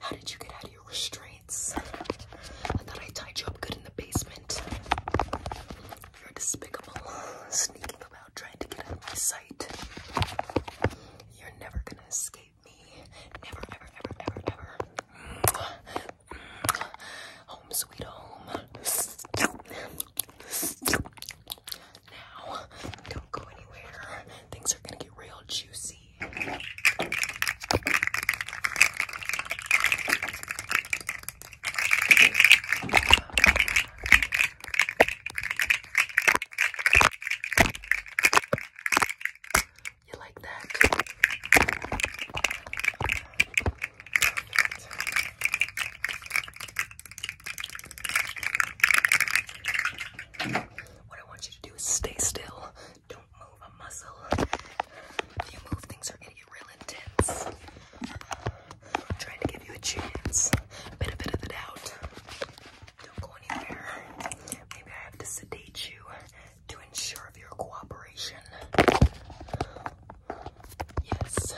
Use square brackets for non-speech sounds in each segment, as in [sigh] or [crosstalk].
How did you get out of your restraints? I thought I tied you up good in the basement. You're despicable, sneaking about trying to get out of my sight. You're never gonna escape me. Never, ever, ever, ever, ever. Home sweet home now. Don't go anywhere. Things are gonna get real juicy. You like that? What I want you to do is stay still. Don't move a muscle. If you move, things are gonna get real intense. I'm trying to give you a chance. Benefit of the doubt. Don't go anywhere. Maybe I have to sedate you to ensure of your cooperation. Yes.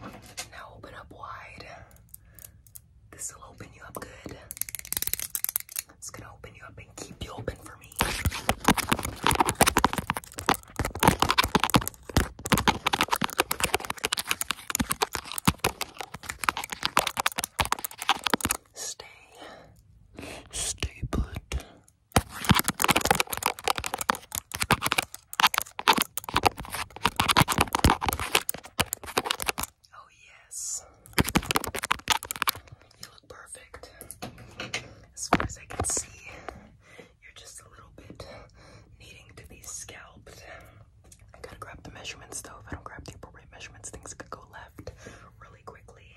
Now open up wide. This will open you up good. It's gonna open you up and keep you open for me. Stay, stay put. Oh, yes. You look perfect. As far as I can see, you're just a little bit needing to be scalped. I gotta grab the measurements though. If I don't grab the appropriate measurements, things could go left really quickly.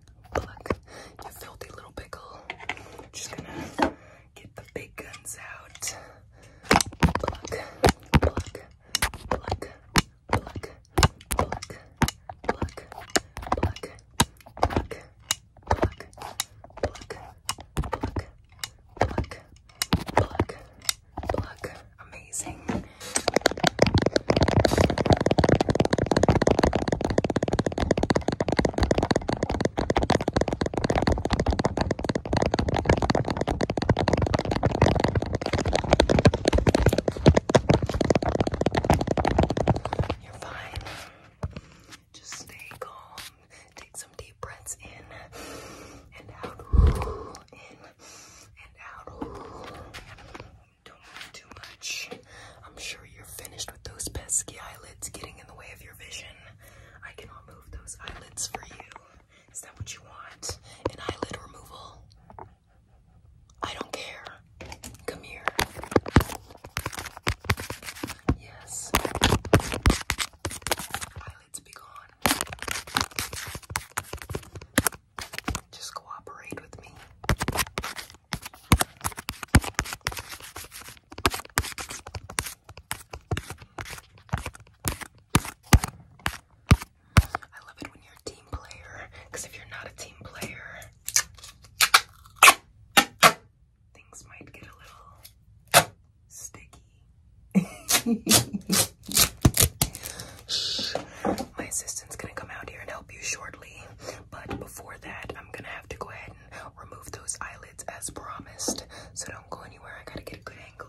Pluck, you filthy little pickle. Just gonna get the big guns out. Pluck, pluck, pluck, pluck, pluck, pluck, pluck, pluck, pluck, pluck, pluck, pluck, pluck, pluck. Amazing. You're fine. Just stay calm. Take some deep breaths in and out. [sighs] In and out. Don't move too much. I'm sure you're finished with those pesky eyelids getting in the way of your vision. I can remove those eyelids for you. Is that what you want? An eyelid removal? I don't care. Come here. Yes. Eyelids be gone. Just cooperate with me. I love it when you're a team player, because if you're not a team player, things might get a little sticky. [laughs] My assistant's gonna come out here and help you shortly. But before that, I'm gonna have to go ahead and remove those eyelids as promised. So don't go anywhere, I gotta get a good angle.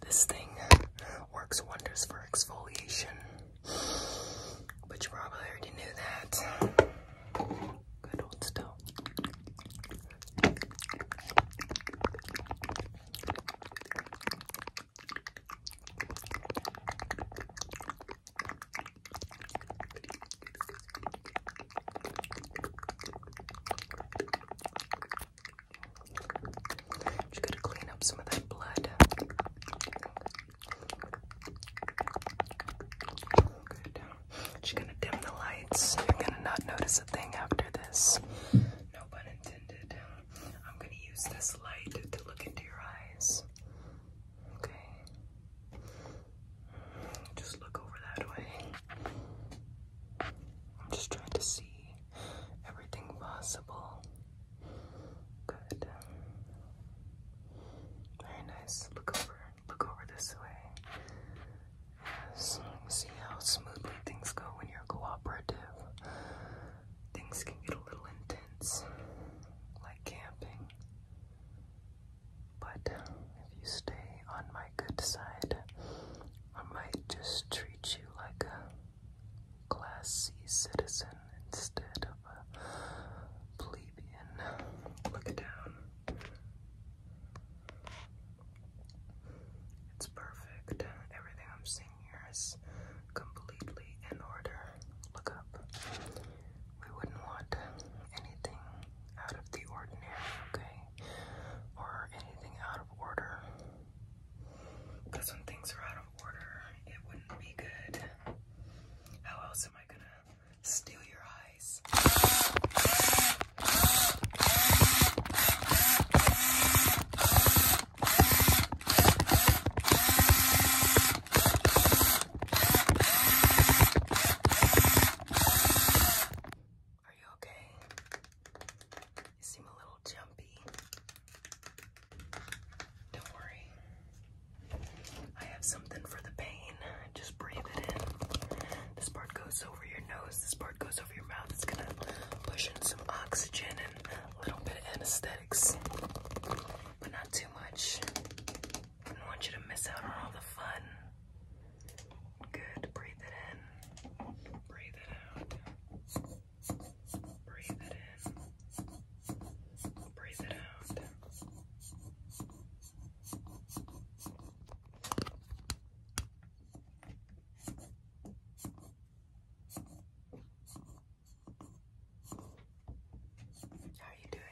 This thing works wonders for exfoliation, but you probably already knew that. Good old still. Just gotta clean up some of that blood. Good. gonna dim the lights. You're gonna not notice a thing after this. No pun intended. I'm gonna use this light to look into your eyes. Okay. Just look over that way. I'm just trying to see everything possible. Good. Very nice. Look over. Look over this way. See how smoothly things go when you're cooperative. Things can get a little intense, like camping. But if you stay on my good side, I might just treat you like a Class C citizen instead of a plebeian. Look down. It's perfect. Everything I'm seeing here is completely in order. Look up. We wouldn't want anything out of the ordinary, okay? Or anything out of order. Because when things are out of order, it wouldn't be good. How else am I gonna steal your eyes? Are you okay? You seem a little jumpy. Don't worry. I have something for the pain. Just breathe it in. This part goes over your nose, this part goes over your mouth. It's gonna push in some oxygen and a little bit of anesthetics, but not too much. don't want you to miss out on all the fun. Good. Breathe it in. Breathe it out. Breathe it in. Breathe it out. How are you doing?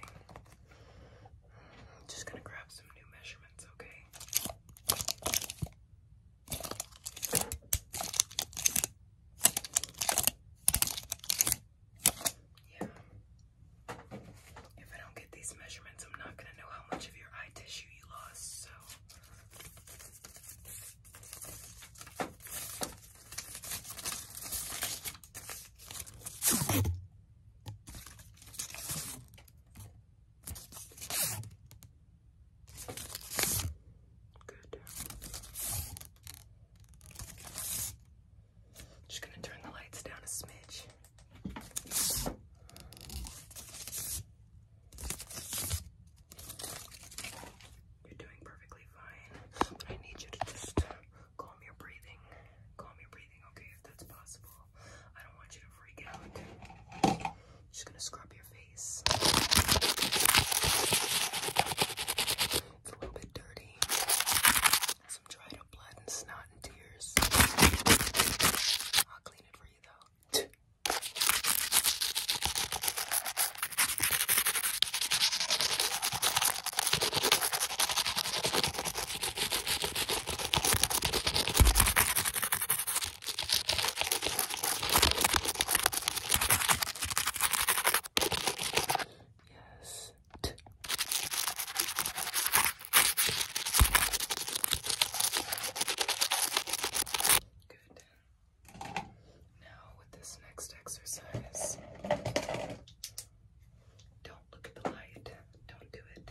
just gonna grab some new measurements, okay? Yeah. If I don't get these measurements, I'm not going to know how much of your eye tissue you lost, so. Good. Just going to turn the lights down a smidge. You're doing perfectly fine, I need you to just calm your breathing. Calm your breathing, okay, if that's possible. I don't want you to I'm just gonna scrub your face. a little bit dirty. Some dried up blood and snot and tears. I'll clean it for you though. Yes. T Good. Now, with this next exercise, don't look at the light. Don't do it.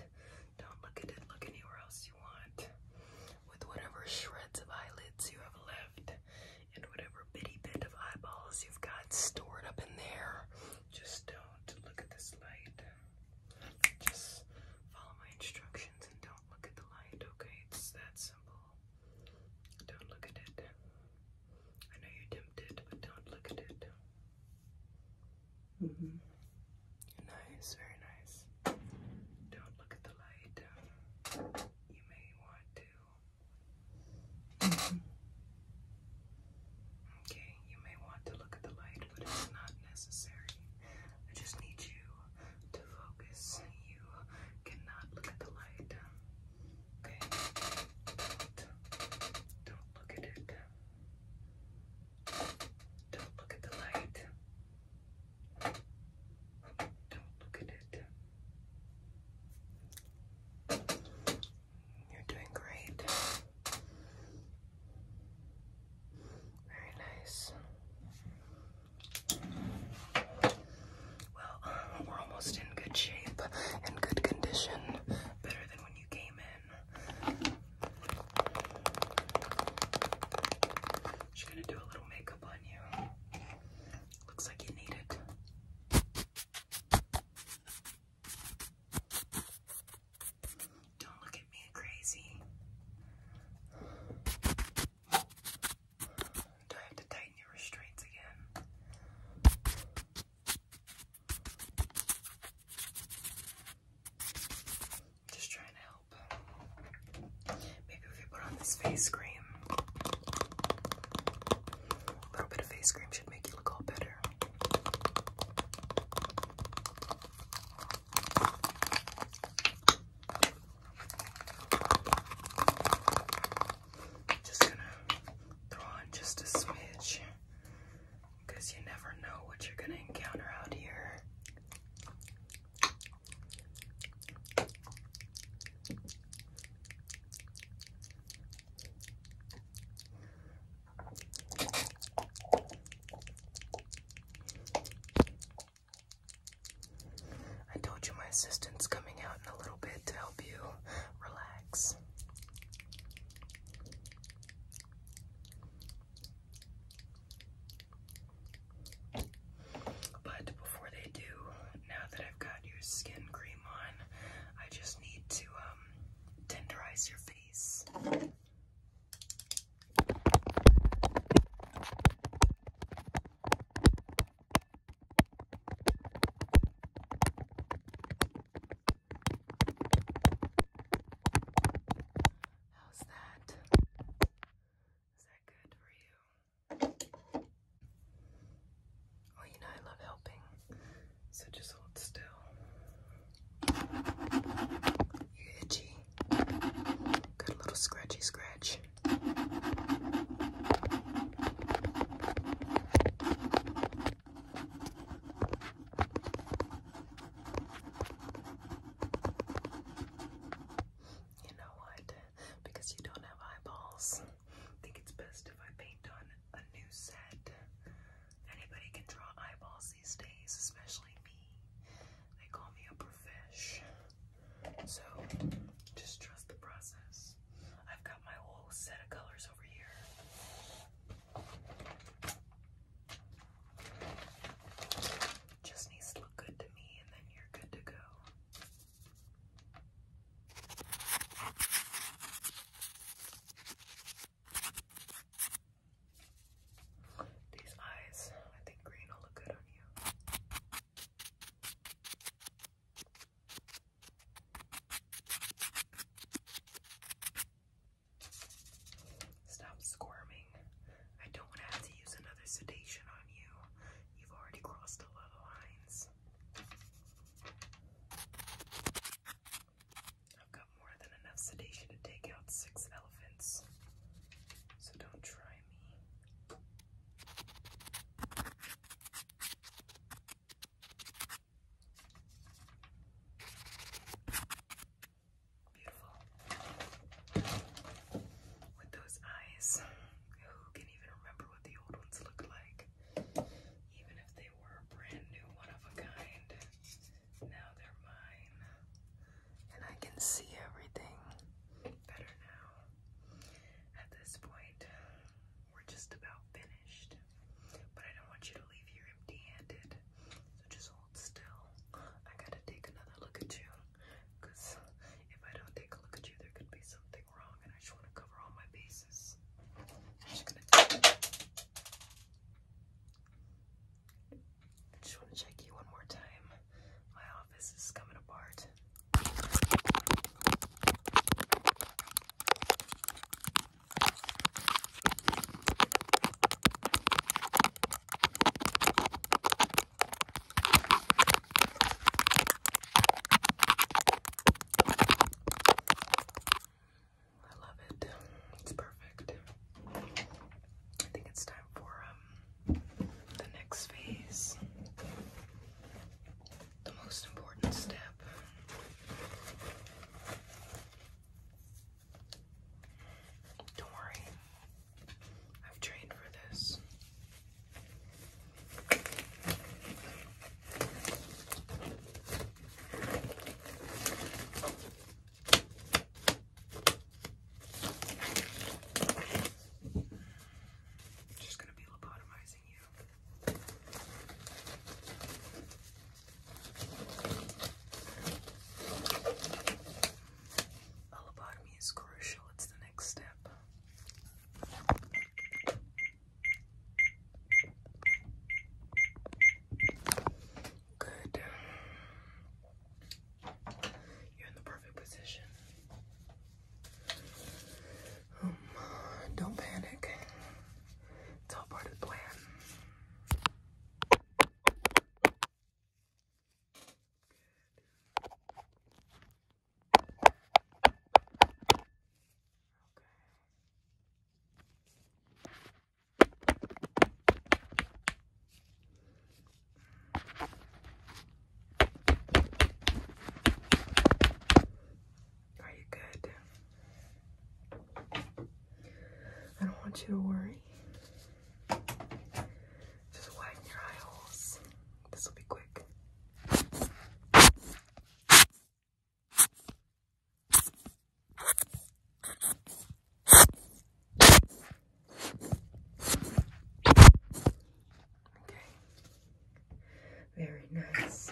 Don't look at it. Look anywhere else you want. With whatever shreds of eyelids you have left and whatever bitty bit of eyeballs you've got stored up in there. Just don't look at this light. Just follow my instructions and don't look at the light, okay? It's that simple. Don't look at it. I know you're tempted, but don't look at it. Mm-hmm. Nice, very nice. Don't look at the light. You may want to. Okay, you may want to look at the light, but it's not necessary. I just need you to focus. You cannot look at the light. Okay? Don't, look at it. Don't look at the light. Don't look at it. You're doing great. Very nice. Well, um, we're almost in good shape and good condition. Better than when you came in. She's gonna do a little makeup on you. Looks like you need it. Don't look at me crazy. Do I have to tighten your restraints again? Just trying to help. Maybe if you put on this face cream, a little bit of face cream should make you look all better. Just gonna throw on just a smidge because you never know what you're gonna encounter out here. I told you my assistant's coming out in a little bit to help you relax. But before they do, now that I've got your skin cream on, I just need to um, tenderize your face. How's that? Oh, you know I love helping. So just hold still. You're itchy. Got little scratchy scratch. You know what? Because you don't have eyeballs, I think it's best if I paint on a new set. Anybody can draw eyeballs these days, especially me. They call me a fish. So just trust the process. I've got my whole set of colors over here. Just needs to look good to me, and then you're good to go. These eyes, I think green will look good on you. Stop squirming. I don't want to have to use another sedation on you. You've already crossed a lot of lines. I've got more than enough sedation to take out six elephants. So don't try me. Beautiful. With those eyes, who can even remember what the old ones look like? Even if they were brand new one of a kind, now they're mine. And I can see everything better now. At this point, we're just about finished. But I don't want you to leave here empty handed just hold still. I gotta take another look at you. Cause if I don't take a look at you, there could be something wrong and I just wanna cover all my bases. I just wanna check you one more time. My office is coming apart. I love it. It's perfect. I think it's time for um, the next phase. The most important step. Don't worry, I've trained for this. I'm just going to be lobotomizing you. A is crucial, it's the next step. Good. You're in the perfect position. Um, don't panic. It's all part of the plan. Are you good? I don't want you to worry. Just widen your eye holes. This will be quick. Very nice.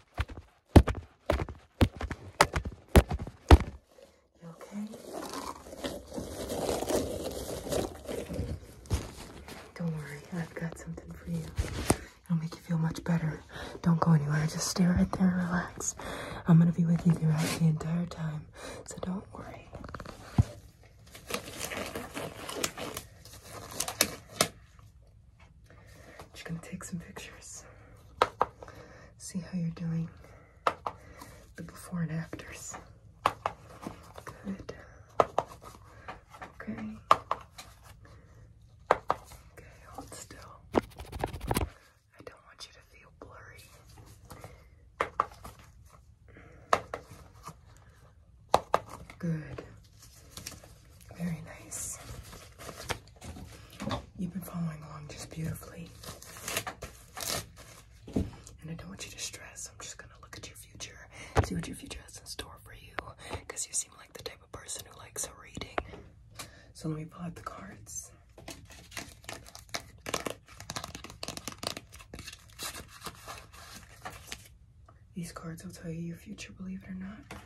You okay? Don't worry, I've got something for you. It'll make you feel much better. Don't go anywhere. Just stay right there and relax. I'm gonna be with you throughout the entire time, so don't worry. Just gonna take some pictures, see how you're doing, the before and afters. Good. Okay. Okay, hold still. I don't want you to feel blurry. Good. Very nice. You've been following along just beautifully. And I don't want you to stress. I'm just going to look at your future, see what your future has in store for you, because you seem like the type of person who likes reading. So let me pull out the cards. These cards will tell you your future, believe it or not.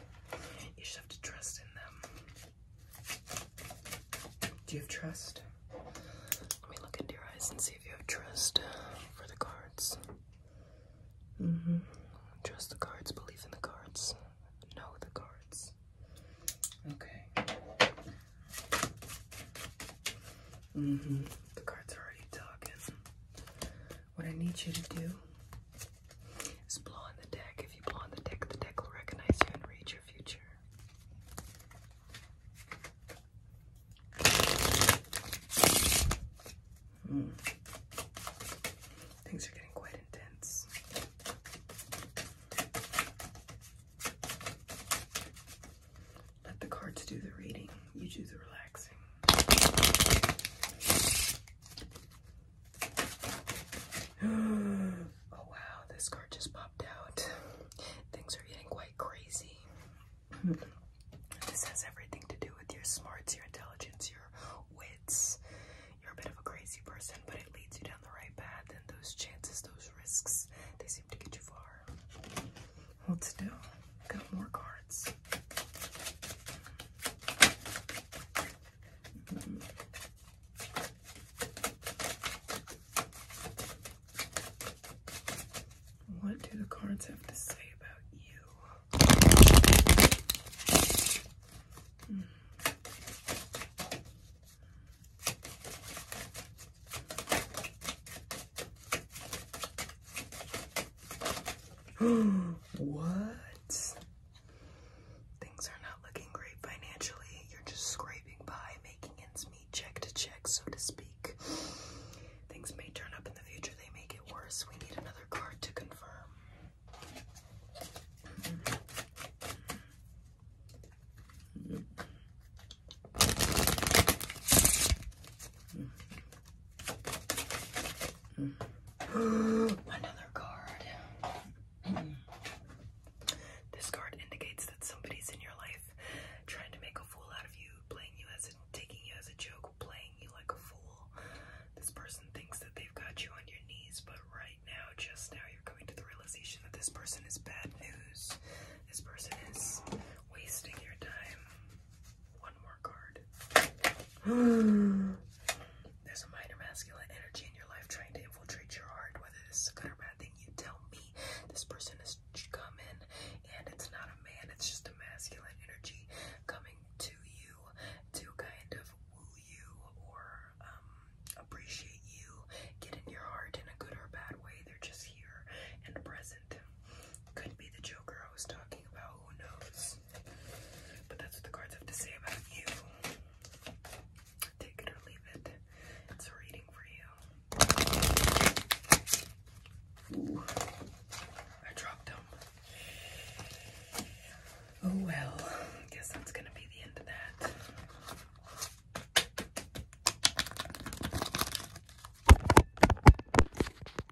You should have to trust in them. Do you have trust? Let me look into your eyes and see if you have trust uh, for the cards. Mm-hmm. Trust the cards, believe in the cards, know the cards. Okay. Mm-hmm. The cards are already talking. What I need you to do is blow on the deck. If you blow on the deck, the deck will recognize you and read your future. Hmm. Things are getting quite intense. Let the cards do the reading, you do the [gasps] oh wow, this card just popped out. Things are getting quite crazy. [laughs] this has everything to do with your smarts, your intelligence, your wits. You're a bit of a crazy person, but it leads you down the right path, and those chances, those risks, they seem to get you far. Let's do. Got more cards. What do the cards have to say about you? Hmm. [gasps] what? Things are not looking great financially. You're just scraping by, making ends meet, check to check, so to speak. Things may turn up in the future, they may get worse. We need another card to confirm. [gasps] Another card. Hmm. This card indicates that somebody's in your life trying to make a fool out of you, playing you as a, taking you as a joke, playing you like a fool. This person thinks that they've got you on your knees, but right now, just now, you're coming to the realization that this person is bad news. This person is wasting your time. One more card. [gasps] There's a minor masculine energy in your life trying to infiltrate your heart. Whether this is a good or bad thing, you tell me. This person is coming, and it's not a man. It's just a masculine energy coming to you to kind of woo you or um, appreciate you, get in your heart in a good or bad way. They're just here and present. Could be the Joker I was talking about. Who knows? But that's what the cards have to say about you. Take it or leave it. It's a reading for you. I dropped him. Oh well, guess that's gonna be the end of that.